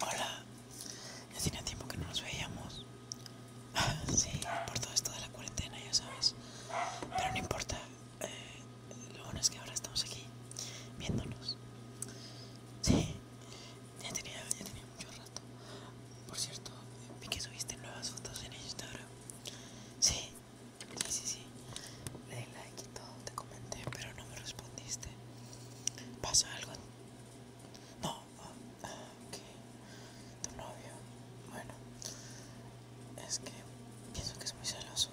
Hola, ya tenía tiempo que no nos veíamos. Sí, por todo esto de la cuarentena, ya sabes. Pero no importa, eh, lo bueno es que ahora estamos aquí viéndonos. Sí, ya tenía, ya tenía mucho rato. Por cierto, vi que subiste nuevas fotos en Instagram. sí, sí, sí. Le di like y todo, te comenté, pero no me respondiste. Este, ¿Pasa algo? No. Ah, ah, ok. Tu novio. Bueno. Es que pienso que es muy celoso.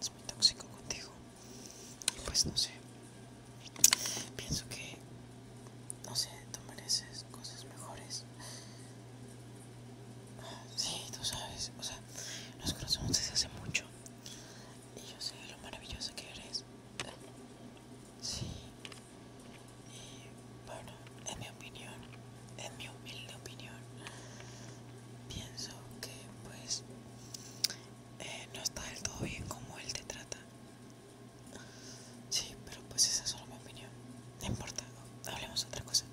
Es muy tóxico contigo. pues no sé. Pienso que... No sé, tú mereces cosas mejores. Ah, sí, tú sabes. O sea, nos conocemos desde hace mucho y yo sé lo maravilloso que eres. Sí. Y bueno, en mi opinión, en mi humilde opinión, pienso que pues eh, no está del todo bien como él te trata. Sí, pero pues esa es solo mi opinión. No importa, hablemos otra cosa.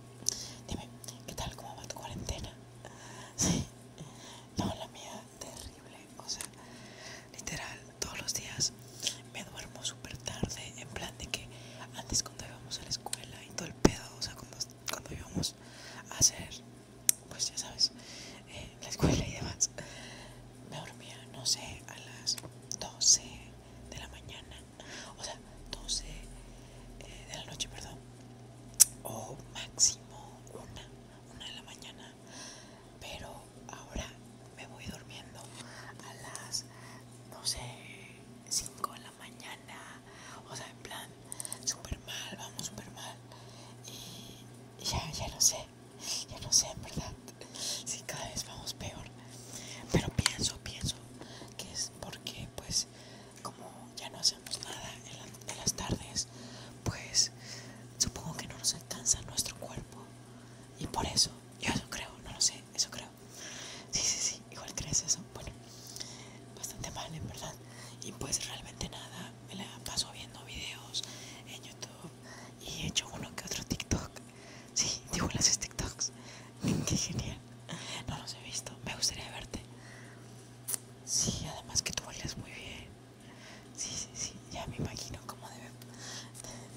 Dime, ¿qué tal? ¿Cómo va tu cuarentena? Sí, no, la mía terrible. O sea, literal, todos los días me duermo súper tarde. En plan de que antes cuando íbamos a la escuela y todo el pedo, o sea, cuando, cuando íbamos a hacer, pues ya sabes, eh, la escuela y demás, me dormía, no sé, a las 12 de la mañana. O sea, 12 eh, de la noche, perdón o máximo una, una de la mañana. Pero ahora me voy durmiendo a las, no sé, 5 de la mañana. O sea, en plan, súper mal, vamos súper mal. Y ya, ya lo sé, ya lo sé, en verdad. Si cada vez vamos peor. Pero pienso, pienso que es porque, pues, como ya no hacemos nada en, las tardes, pues supongo que no nos alcanza nuestro cuerpo. Y por eso, yo eso creo, no lo sé, eso creo. Sí, sí, sí, igual crees eso. Bueno, bastante mal en verdad. Y pues realmente nada, me la paso viendo videos en YouTube y he hecho uno que otro TikTok. Sí, digo las TikToks. Qué genial. No los he visto, me gustaría verte. Sí, además que tú bailas muy bien. Sí, sí, sí, ya me imagino cómo debe,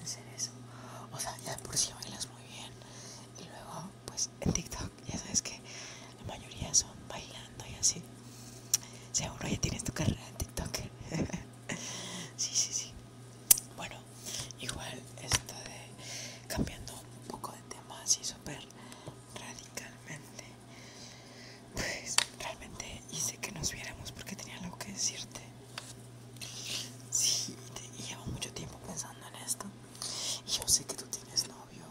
ser eso. O sea, ya por si bailas muy bien. Y luego, pues en TikTok, ya sabes que la mayoría son bailando y así. Seguro ya tienes tu carrera en TikTok. sí, sí, sí. Bueno, igual esto de cambiando un poco de tema así súper radicalmente. Pues realmente hice que nos viéramos porque tenía algo que decirte. Sí, te, llevo mucho tiempo pensando en esto. Y yo sé que tú tienes novio.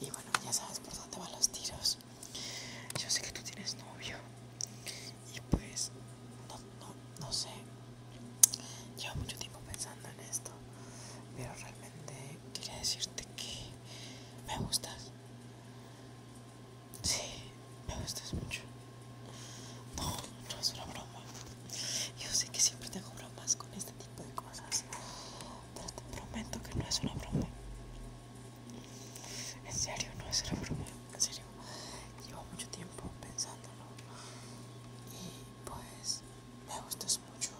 Y bueno, ya sabes por dónde van los tiros. Yo sé que tú tienes novio. Y pues, no, no, no sé. Llevo mucho tiempo pensando en esto pero realmente quería decirte que me gustas. Sí, me gustas mucho. No, no es una broma. Yo sé que siempre tengo bromas con este tipo de cosas, pero te prometo que no es una broma. En serio, no es una broma. En serio, llevo mucho tiempo pensándolo y pues me gustas mucho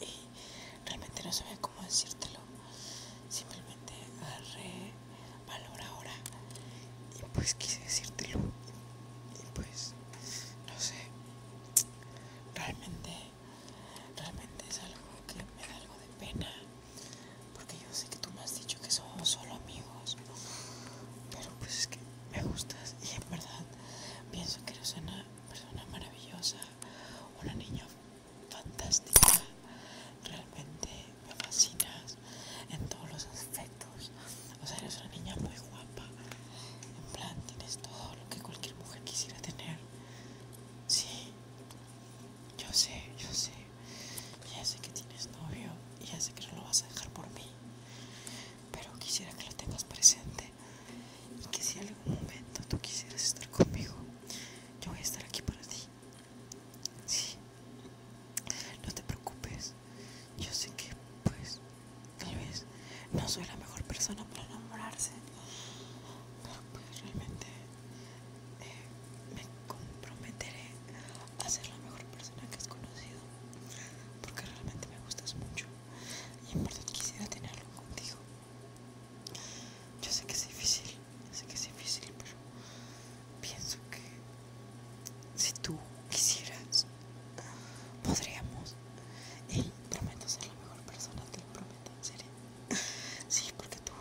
y, realmente no sabía cómo decírtelo. Simplemente agarré valor ahora y pues quise decírtelo. Y, y pues, no sé, realmente, realmente es algo que me da algo de pena. Porque yo sé que tú me has dicho que somos solo amigos. Pero pues es que me gustas y en verdad Pienso que eres una persona maravillosa, una niña fantástica. Realmente me fascinas en todos los aspectos. O sea, eres una niña muy guapa. En plan, tienes todo lo que cualquier mujer quisiera tener. Sí, yo sé, yo sé. Ya sé que tienes novio y ya sé que no lo vas a dejar por mí pero quisiera que lo tengas presente y que si en algún momento tú quisieras estar conmigo, yo voy a estar aquí para ti. Sí, no te preocupes, yo sé que pues tal vez no soy la mejor persona para enamorarse, pero pues realmente eh, me comprometeré a ser la mejor persona que has conocido porque realmente me gustas mucho y en verdad quisiera tenerlo contigo. Yo sé que es difícil, sé que es difícil, pero pienso que si tú quisieras, podríamos. Y prometo ser la mejor persona, te lo prometo, en Sí, porque tú,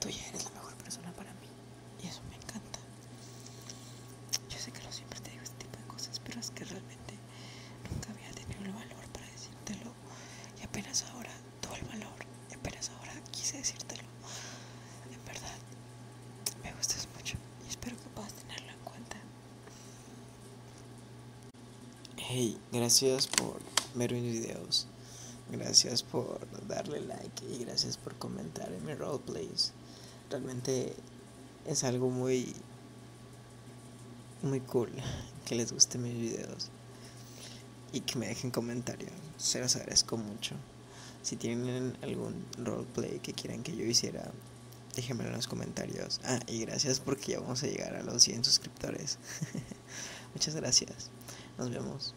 tú ya eres la mejor persona para mí y eso me encanta. Yo sé que no siempre te digo este tipo de cosas, pero es que realmente nunca había tenido el valor para decírtelo. Y apenas ahora tuve el valor. Y apenas ahora quise decírtelo. En verdad, me gustas mucho y espero que puedas tenerlo en cuenta. Hey, gracias por ver mis videos. Gracias por darle like y gracias por comentar en mis roleplays. Realmente es algo muy muy cool que les guste mis vídeos y que me dejen comentarios. Se los agradezco mucho. Si tienen algún roleplay que quieran que yo hiciera, déjenmelo en los comentarios. Ah, y gracias porque ya vamos a llegar a los 100 suscriptores. Muchas gracias. Nos vemos.